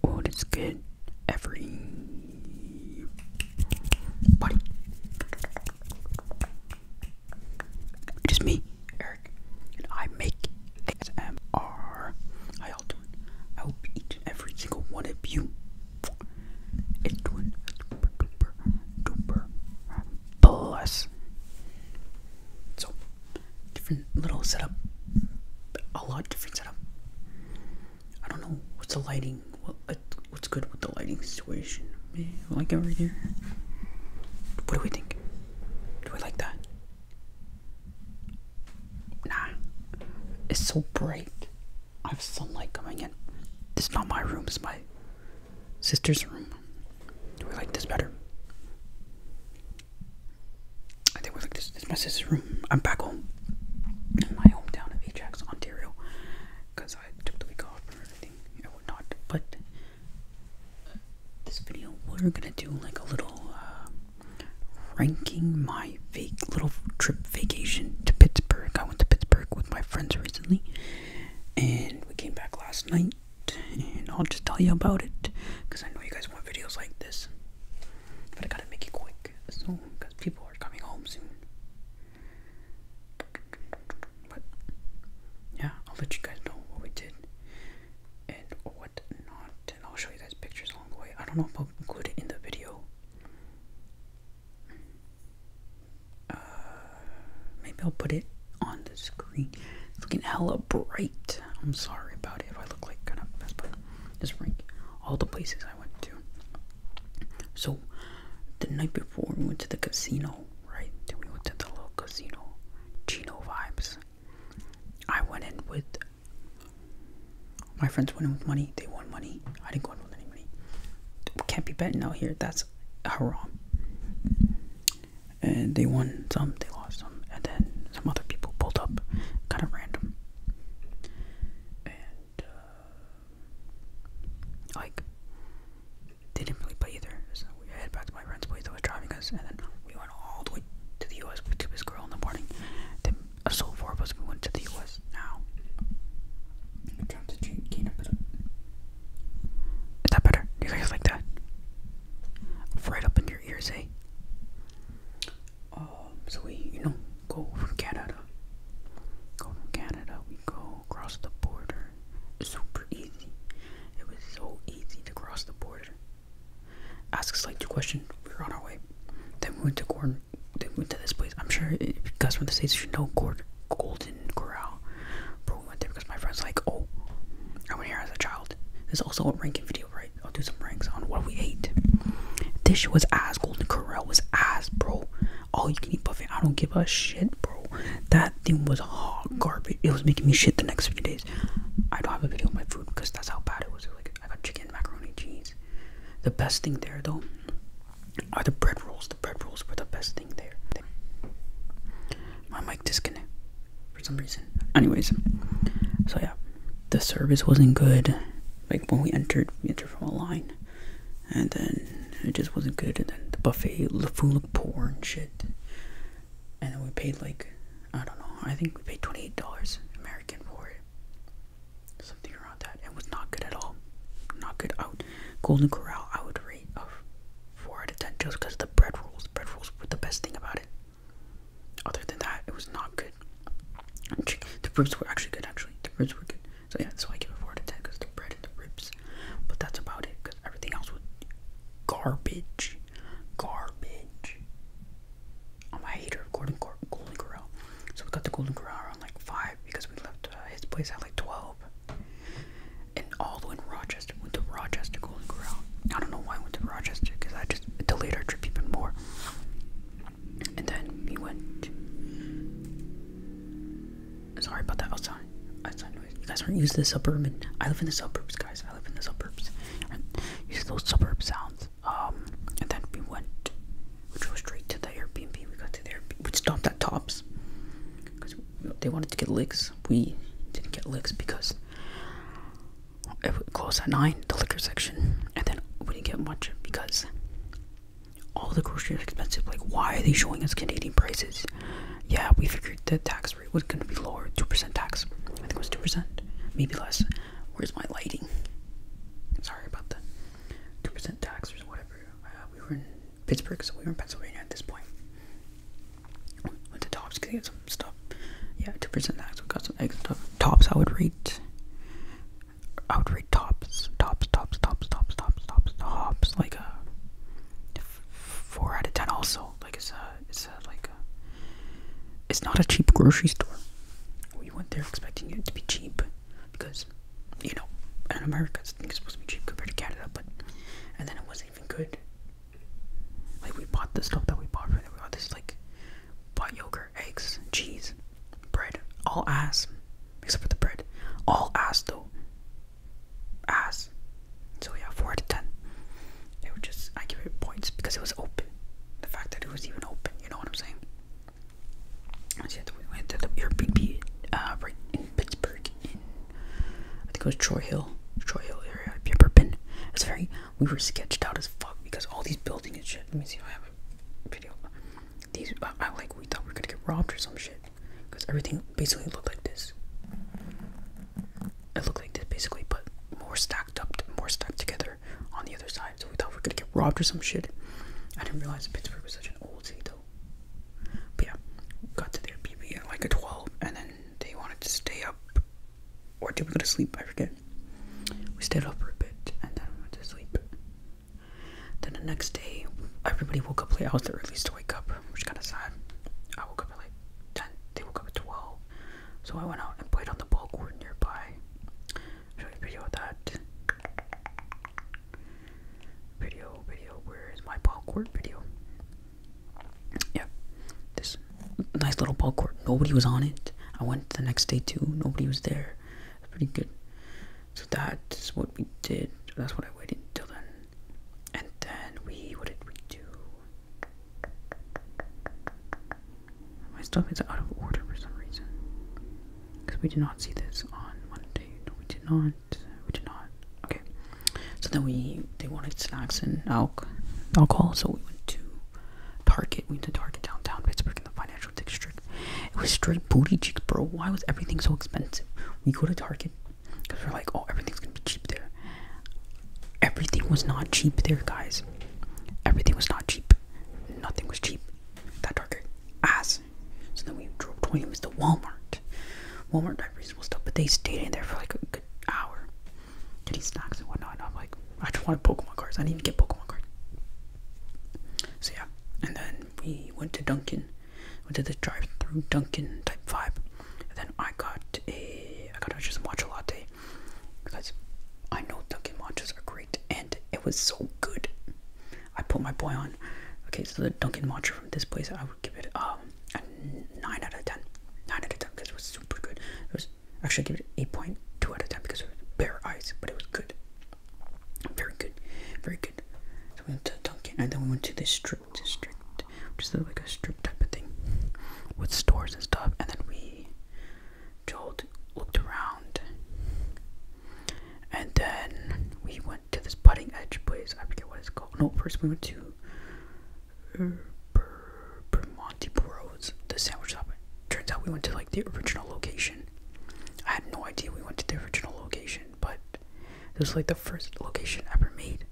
What is good, everybody? It is me, Eric, and I make XMR. How y'all doing? I hope each and every single one of you is doing super duper duper bless. So different little setup. A lot different setup. I don't know what's the lighting. What what's good with the lighting situation? I like it right here. What do we think? Do we like that? Nah. It's so bright. I have sunlight coming in. This is not my room, it's my sister's room. Do we like this better? I think we're like this. This is my sister's room. I'm back home in my hometown of Ajax, Ontario, because I took the week off for everything. I would but this video we're gonna do like a little uh, ranking my fake little trip vacation to Pittsburgh. I went to Pittsburgh with my friends recently, and we came back last night and I'll just tell you about it because I know you guys want videos like this. But I gotta make it quick, so because people are coming home soon. But yeah, I'll let you guys know what we did and what not, and I'll show you guys pictures along the way. I don't know if I'll include it in the video. Uh, maybe I'll put it on this it's looking hella bright. I'm sorry about it if I look like kind of best, but just rank all the places I went to. So the night before we went to the casino, right? Then we went to the little casino, Chino vibes. I went in with my friends went in with money. They won money. I didn't go in with any money. Can't be betting out here. That's wrong and they won some, they lost some, and then some other people pulled up, kind of random. And uh, like didn't really play either. So we headed back to my friend's place that was driving us, and then we went all the way to the U.S. We took girl in the morning. Then a uh, so four of us we went to the U.S. Now Is that better? you guys like that? right up in your ears, eh? Oh, so we, you know, go from Canada. Go from Canada, we go across the border. Super easy. It was so easy to cross the border. Ask us like two questions, we are on our way. Then we went to Gordon, then we went to this place. I'm sure it, you guys from the States should know Gordon, Golden Corral. Bro, went there because my friend's like, oh, I went here as a child. There's also a ranking video, right? I'll do some ranks on what we ate. This was ass, Golden Corral was ass, bro. All you can eat buffet. I don't give a shit, bro. That thing was hot garbage. It was making me shit the next few days. I don't have a video of my food because that's how bad it was. It was like I got chicken, macaroni, cheese. The best thing there though are the bread rolls. The bread rolls were the best thing there. My mic disconnect for some reason. Anyways, so yeah, the service wasn't good. Like when we entered, we entered from a line, and then it just wasn't good. And then the buffet, the food looked poor and shit. And then we paid like I don't know. I think we paid twenty eight dollars American for it, something around that. It was not good at all. Not good. Out Golden Corral, I would rate of four out of ten just because of the bread rolls. Bread rolls were the best thing about it. Other than that, it was not good. The ribs were actually good, actually. The ribs were good. So yeah, that's why I give it four out of ten because the bread and the ribs. But that's about it because everything else was garbage, garbage. I'm a hater of Golden Cor Golden Corral. So we got the Golden Corral around like five because we left uh, his place at like twelve and all the way in Rochester. Went to Rochester Golden Corral. I don't know why I went to Rochester because I just delayed our trip even more. And then we went. Sorry about that outside. Outside noise. You guys aren't used to the suburban. I live in the suburbs, guys. I live in the suburbs. You see those suburb sounds. Um, and then we went. We drove straight to the Airbnb. We got to the Airbnb. We stopped at Tops because they wanted to get licks. We didn't get licks because it closed at nine, the liquor section, and then we didn't get much because all the groceries are expensive. Like, why are they showing us Canadian prices? Yeah, we figured the tax rate was going to be lower, two percent tax. I think it was two percent, maybe less. Where's my lighting? Sorry about that. Two percent tax or whatever. Uh, we were in Pittsburgh, so we were in Pennsylvania at this point. Went to Tops because some stuff. Yeah, two percent tax. We got some eggs Tops, I would rate. I would rate Tops, Tops, Tops, Tops, Tops, Tops, Tops, like a four out of ten. Also, like it's a, it's a, like a, it's not a cheap grocery store. You went there expecting it to be cheap because you know in America it's supposed to be cheap compared to Canada, but and then it was a even good? Like we bought the stuff that we bought for them. We bought this like bought yogurt, eggs, cheese, bread, all ass. Except for the bread. All ass though. Ass. So yeah, four out of ten. It was just I give it points because it was open. The fact that it was even open, you know what I'm saying? So yeah, we went to the Airbnb uh, right in Pittsburgh I think it was Troy Hill, Troy Hill area. Have you ever been? It's very. We were sketched out as fuck because all these buildings and shit. Let me see if I have a video. These, I, like. We thought we were gonna get robbed or some shit because everything basically looked like this. It looked like this basically, but more stacked up, more stacked together on the other side. So we thought we were gonna get robbed or some shit. I didn't realize Pittsburgh was such an old city. though though. But yeah, got to their BB at like a 12, and then they wanted to stay up, or did we go to sleep? I forget. We stayed up for a bit, and then went to sleep. Then the next day, everybody woke up late. I was the earliest to wake up, which is kind of sad. I woke up at like 10, they woke up at 12. So I went out and played on the ball court nearby. show you a video of that. Video, video, where is my ball court video? Yeah, this nice little ball court. Nobody was on it. I went the next day too. Nobody was there. pretty good. So that's what we did. That's what I waited until then. And then we, what did we do? My stuff is out of order for some reason. Because we did not see this on Monday. No, we did not. We did not. Okay. So then we they wanted snacks and alc alcohol, so we went to Target. We went to Target downtown Pittsburgh in the financial district. It was straight booty cheeks, bro. Why was everything so expensive? We go to Target because we're like, oh, everything's gonna be cheap there. Everything was not cheap there, guys. Everything was not cheap. Nothing was cheap. That Target ass. So then we drove to Walmart. Walmart got reasonable stuff, but they stayed in there for like a good hour getting snacks and whatnot. And I'm like, I just wanted Pokemon cards. I need to get Pokemon cards. So yeah, and then we went to Dunkin', went to the drive-through Dunkin' type vibe, then I got a I got a just matcha latte because I know Dunkin' matchas are great, and it was so good. I put my boy on. Okay, so the Dunkin' Matcha from this place, I would give it um, a 9 out of 10. 9 out of 10 because it was super good. It was actually give it 8.2 out of 10 because it was bare eyes, but it was good. Very good. Very good. So we went to Dunkin' and then we went to the strip district, which is like a strip type of thing with stores and stuff. And then we jolted, looked around and then we went to this putting edge place. I forget what it's called. No, first we went to uh, Bermonti Bros, the sandwich shop. Turns out we went to like the original location. I had no idea we went to the original location, but it was like the first location ever made.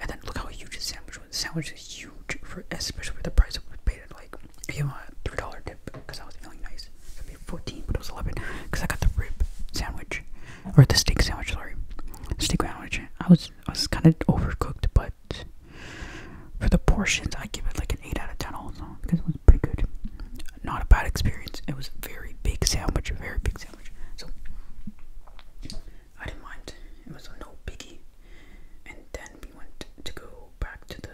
And then look how huge the sandwich was. The sandwich is huge, for especially for the price that we paid. It like, you know, three dollar because I was feeling nice. It's gonna be 14, but it was 11 because I got the rib sandwich or the steak sandwich. Sorry, steak sandwich. I was I was kind of overcooked, but for the portions, I give it like an 8 out of 10 also because it was pretty good. Not a bad experience. It was a very big sandwich, a very big sandwich. So I didn't mind. It was a no biggie. And then we went to go back to the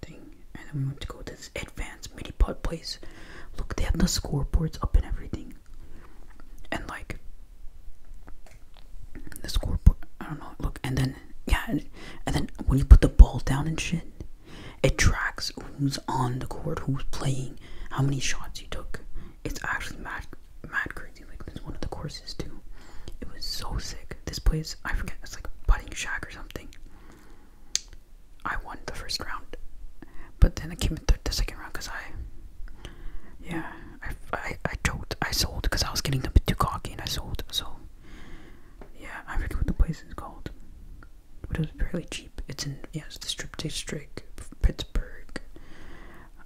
thing, and then we went to go to this advanced mini putt place. Look, they have the scoreboards up and everything, and like the scoreboard. I don't know. Look, and then yeah, and, then when you put the ball down and shit, it tracks who's on the court, who's playing, how many shots you took. It's actually mad, mad crazy. Like this one of the courses too. It was so sick. This place, I forget, it's like putting shack or something. I won the first round, but then I came in the second round because I, yeah, I, I, I choked, I sold because I was getting a bit too cocky and I sold. So, yeah, I forget what the place is called, but it was fairly cheap. It's in, yeah, it's the strip district, Pittsburgh.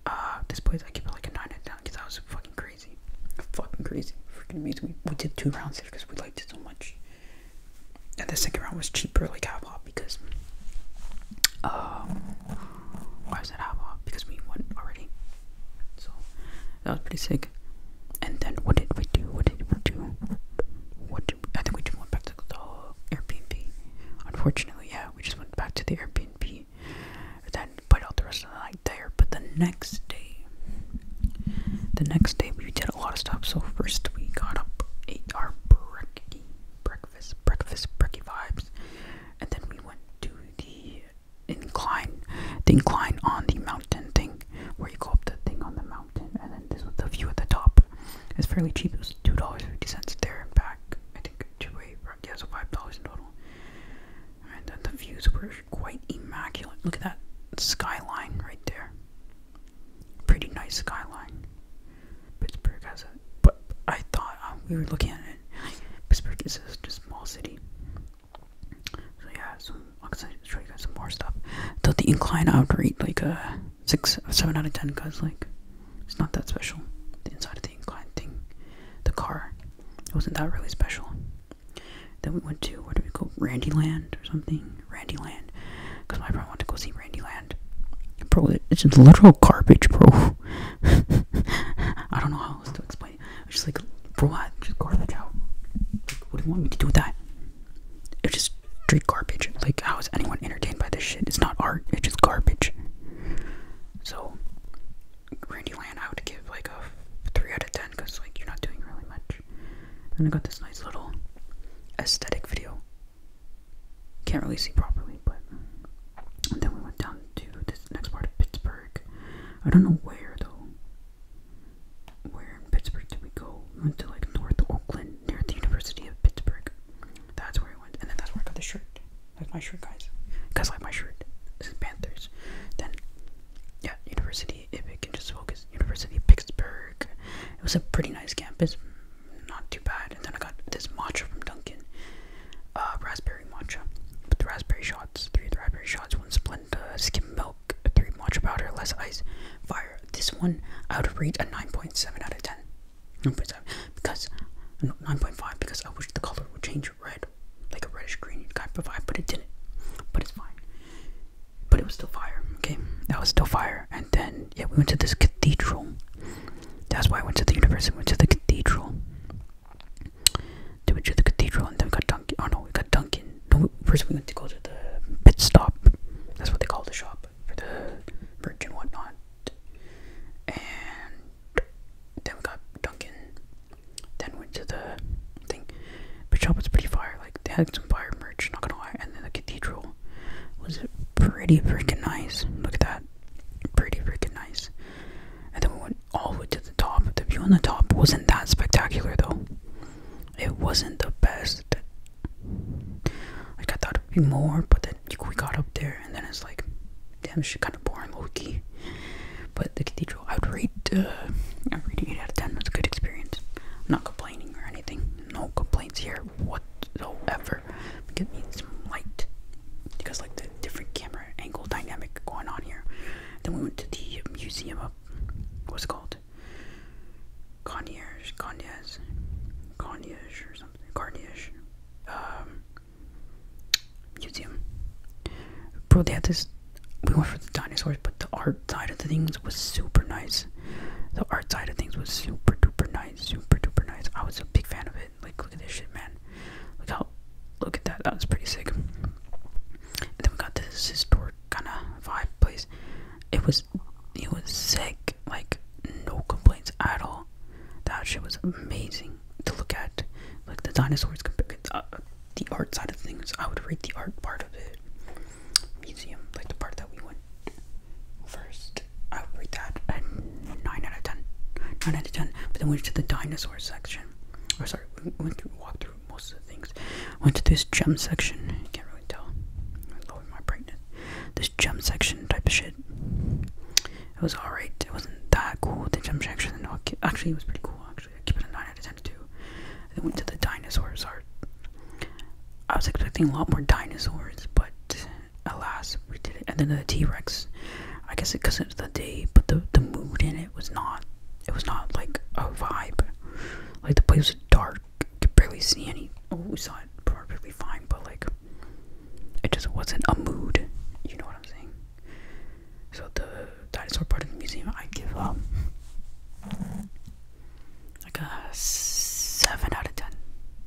Uh, this place I give it like a 9 out of 10 because I was fucking crazy. Fucking crazy. Freaking amazing. We, we did two rounds there because we liked it so much. And the second round was cheaper, like Hop because um, why is that Hop Because we won already. So that was pretty sick. And then what did we do? What did we do? What did we, I think we did? went back to the Airbnb. Unfortunately, yeah, we just went back to the Airbnb. Then put out the rest of the night there. But the next day the next day we did a lot of stuff. So first we got up, ate our brekkie, breakfast, breakfast, brekkie vibes, and then we went to the incline, the incline on the mountain thing, where you go up the thing on the mountain, and then this was the view at the top. It's fairly cheap. It was two dollars fifty cents there and back. I think two way, yeah, so five dollars in total. And then the views were quite immaculate. Look at that skyline right there. Pretty nice skyline. Pittsburgh has a. But I thought uh, we were looking at it. Pittsburgh is just a small city. So yeah, so I'm gonna show you guys some more stuff. So the incline I would rate like a six, seven out of ten, cause like it's not that special. The inside of the incline thing, the car, wasn't that really special. Then we went to, what do we go? Randyland or something? Randyland. Because my bro wanted to go see Randyland. Bro, it's just literal garbage, bro. I don't know how else to explain it. It's just like, bro, I just garbage out. Like, what do you want me to do with that? It's just straight garbage. Like, how is anyone entertained by this shit? It's not art, it's just garbage. So, Randyland, I would give like a 3 out of 10 because, like, you're not doing really much. And I got this nice little aesthetic video. Can't really see properly, but then we went down to this next part of Pittsburgh. I don't know where though. Where in Pittsburgh did we go? We went to like North Oakland near the University of Pittsburgh. That's where I went, and then that's where I got the shirt. That's my shirt, guys. Guys like my shirt. This is Panthers. Then yeah, University if it can just focus university of pittsburgh it was a pretty nice campus not too bad and then i got this matcha from duncan uh, raspberry matcha with raspberry shots three raspberry shots one splenda skim milk three matcha powder less ice fire this one i would rate a 9.7 out of 10 9.7 because 9.5 because i wish the color would change red like a reddish green type of vibe but it didn't but it's fine but it was still fire. Okay, that was still fire. And then yeah, we went to this cathedral. That's why I went to the university. We went to the cathedral. we went to the cathedral, and then we got Duncan. Oh no, we got Duncan. No, first we went to go to the pit stop. That's what they call the shop for the merch and whatnot. And then we got Dunkin. Then went to the thing, but shop was pretty fire. Like they had some fire merch, not gonna lie. And then the cathedral was pretty freaking nice. Look at that, pretty freaking nice. And then we went all the way to the top. The view on the top wasn't that spectacular though. It wasn't the best. Like I thought it'd be more, but then we got up there, and then it's like, damn, shit, kind of boring, Loki but the cathedral. I would rate, uh, I would rate it 8 out of 10. That's a good experience. not complaining or anything. No complaints here whatsoever. Give me some light because like the different camera angle dynamic going on here. Then we went to the museum of what's it called Conyers, Conyers, Conyers or something. Conyers. Um museum. Bro, we went for the dinosaurs, but the art side of the things was super nice. The art side of things was super duper nice, super duper nice. I was a big fan of it. Like, look at this shit, man. Look how, look at that. That was pretty sick. And then we got this historic kind of vibe place. It was, it was sick. Like, no complaints at all. That shit was amazing to look at. Like the dinosaurs compared. Uh, the art side of things, I would rate the art part of it. Museum, like the part that we went first, I would rate that a 9 out of 10. 9 out of 10. But then we went to the dinosaur section. Or oh, sorry, we went to walk through most of the things. Went to this gem section. You can't really tell. my brightness. This gem section type of shit. It was alright. It wasn't that cool. The gem section. Actually, it was pretty cool. Actually actually. I it a 9 out of 10 too. They went to the dinosaurs I was expecting a lot more dinosaurs, but alas, we did it. And then the T-Rex, I guess because it, it's the day, but the, the mood in it was not, it was not like a vibe. Like the place was dark, could barely see any, oh, we saw it perfectly fine, but like, it just wasn't a mood, you know what I'm saying? So the dinosaur part of the museum, I give up um, like a 7 out of 10.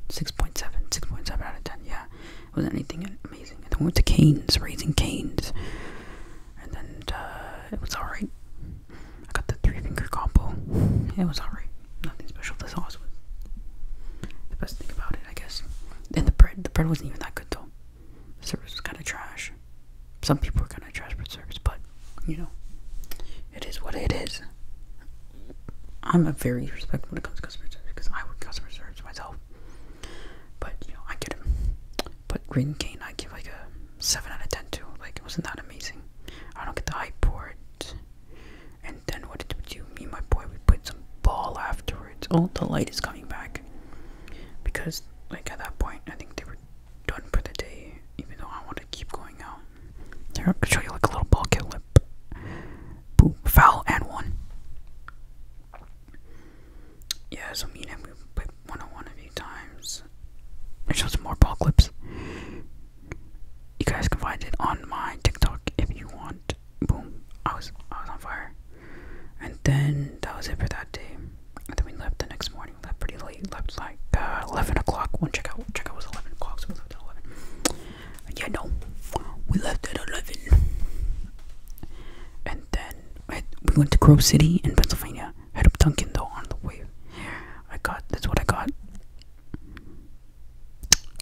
6.7, 6.7 out of 10, yeah. It wasn't anything amazing. And then we went to Canes, Raising Canes. And then uh, it was alright. I got the three finger combo. It was alright. Nothing special. The sauce was the best thing about it, I guess. And the bread, the bread wasn't even that good though. The service is kind of trash. Some people are kind of trash for service, but you know, it is what it is. I'm a very respectful when it comes to customer service because I work customer service myself. But you know, I get it. But Green Cane, I give like a seven out of ten to. Like it wasn't that amazing. I don't get the high port. And then what did we do? Me my boy, we put some ball afterwards. Oh, the light is coming back because like at that point I think they were done for the day even though I want to keep going out. Here I'll show you like a little bucket lip. Boom, foul and one. Yeah, so mean and him we put one on one a few times. I show some more ball clips. You guys can find it on my TikTok if you want. Boom. I was I was on fire. And then that was it for that day. And then we left the next morning. left pretty late. Left like uh, eleven o'clock. One Check out was eleven o'clock, so we left at eleven. And yeah, no, we left at eleven. And then we went to Grove City in Pennsylvania. Had a Dunkin' though on the way. I got that's what I got.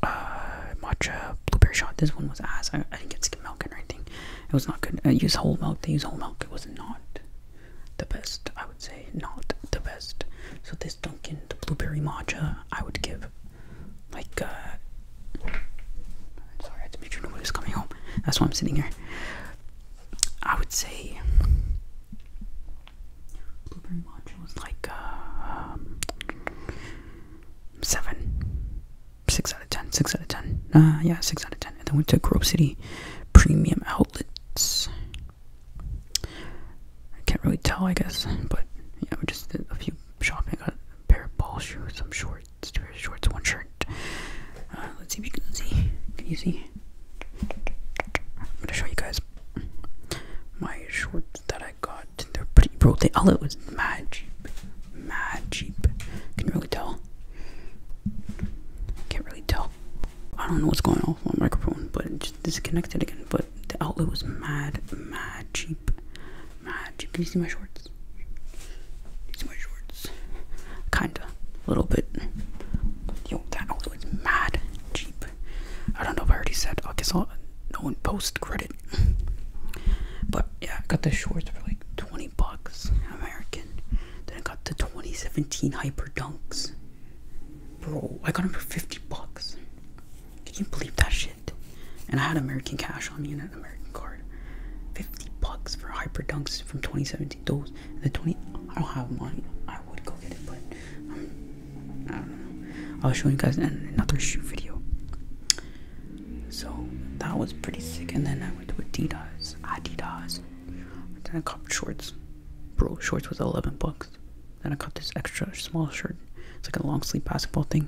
Uh, matcha blueberry shot. This one was ass. I, I didn't get skim milk or anything. It was not good. Uh, use whole milk. They use whole milk. It was not the best. I would say not the best. So this Dunkin' the blueberry matcha, I would give like. Uh, sorry, to make sure nobody's coming home. That's why I'm sitting here. I would say blueberry matcha was like uh, um, seven. 6 out of 10, 6 out of 10. Ah, yeah, 6 out of 10. And then went to Grove City Premium Outlets. I can't really tell, I guess, but yeah, we just did a few shopping. got a pair of ball shoes, some shorts, two pairs of shorts, one shirt. Uh, let's see if you can see. Can you see? I'm gonna show you guys my shorts that I got. They're pretty, broke. They all it was mad cheap mad cheap. Can you really tell? Can't really tell. I don't know what's going on with my microphone, but it just disconnected again. But the outlet was mad, mad cheap. Mad cheap. Can you see my shorts? see my shorts? Kinda. A little bit. Yo, that outlet was mad cheap. I don't know if I already said. I guess I'll. No one post credit. But yeah, I got the shorts for like 20 bucks American. Then I got the 2017 Hyper Dunks. Bro, I got them for 50 bucks. Can you believe that shit? And I had American cash on me and an American card. 50 bucks for Hyper Dunks from 2017. Those, the 20, I don't have one. I would go get it, but um, I don't know. I'll show you guys another shoe video. So that was pretty sick. And then I went to Adidas. Adidas. Then I got shorts. Bro, shorts was 11 bucks. Then I got this extra small shirt. It's like a long sleeve basketball thing.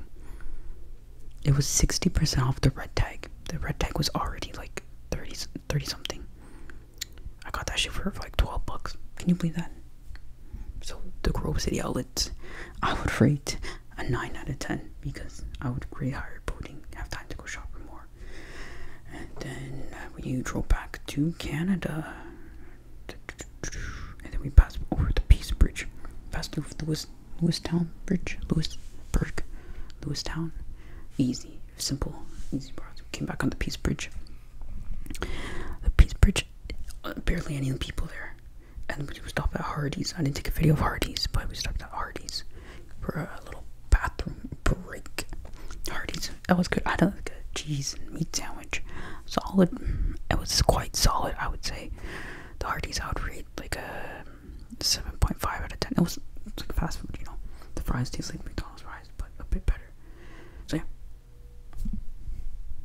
It was 60% off the red tag. The red tag was already like 30, something. I got that shit for like 12 bucks. Can you believe that? So the Grove City outlets, I would rate a 9 out of 10 because I would grade higher boating, have time to go shopping more. And then uh, we drove back to Canada. And then we passed over the Peace Bridge, passed through Lewis, Lewistown Bridge, Lewisburg, Lewistown. Easy, simple, easy We Came back on the Peace Bridge. The Peace Bridge, uh, barely any people there and we stopped at Hardee's. I didn't take a video of Hardee's, but we stopped at Hardee's for a little bathroom break. Hardee's, that was good. I had like a cheese and meat sandwich, solid. It was quite solid, I would say. The Hardee's, I would rate like a seven point five out of ten. It was, it was like fast food, you know. The fries taste like McDonald's fries, but a bit better. So yeah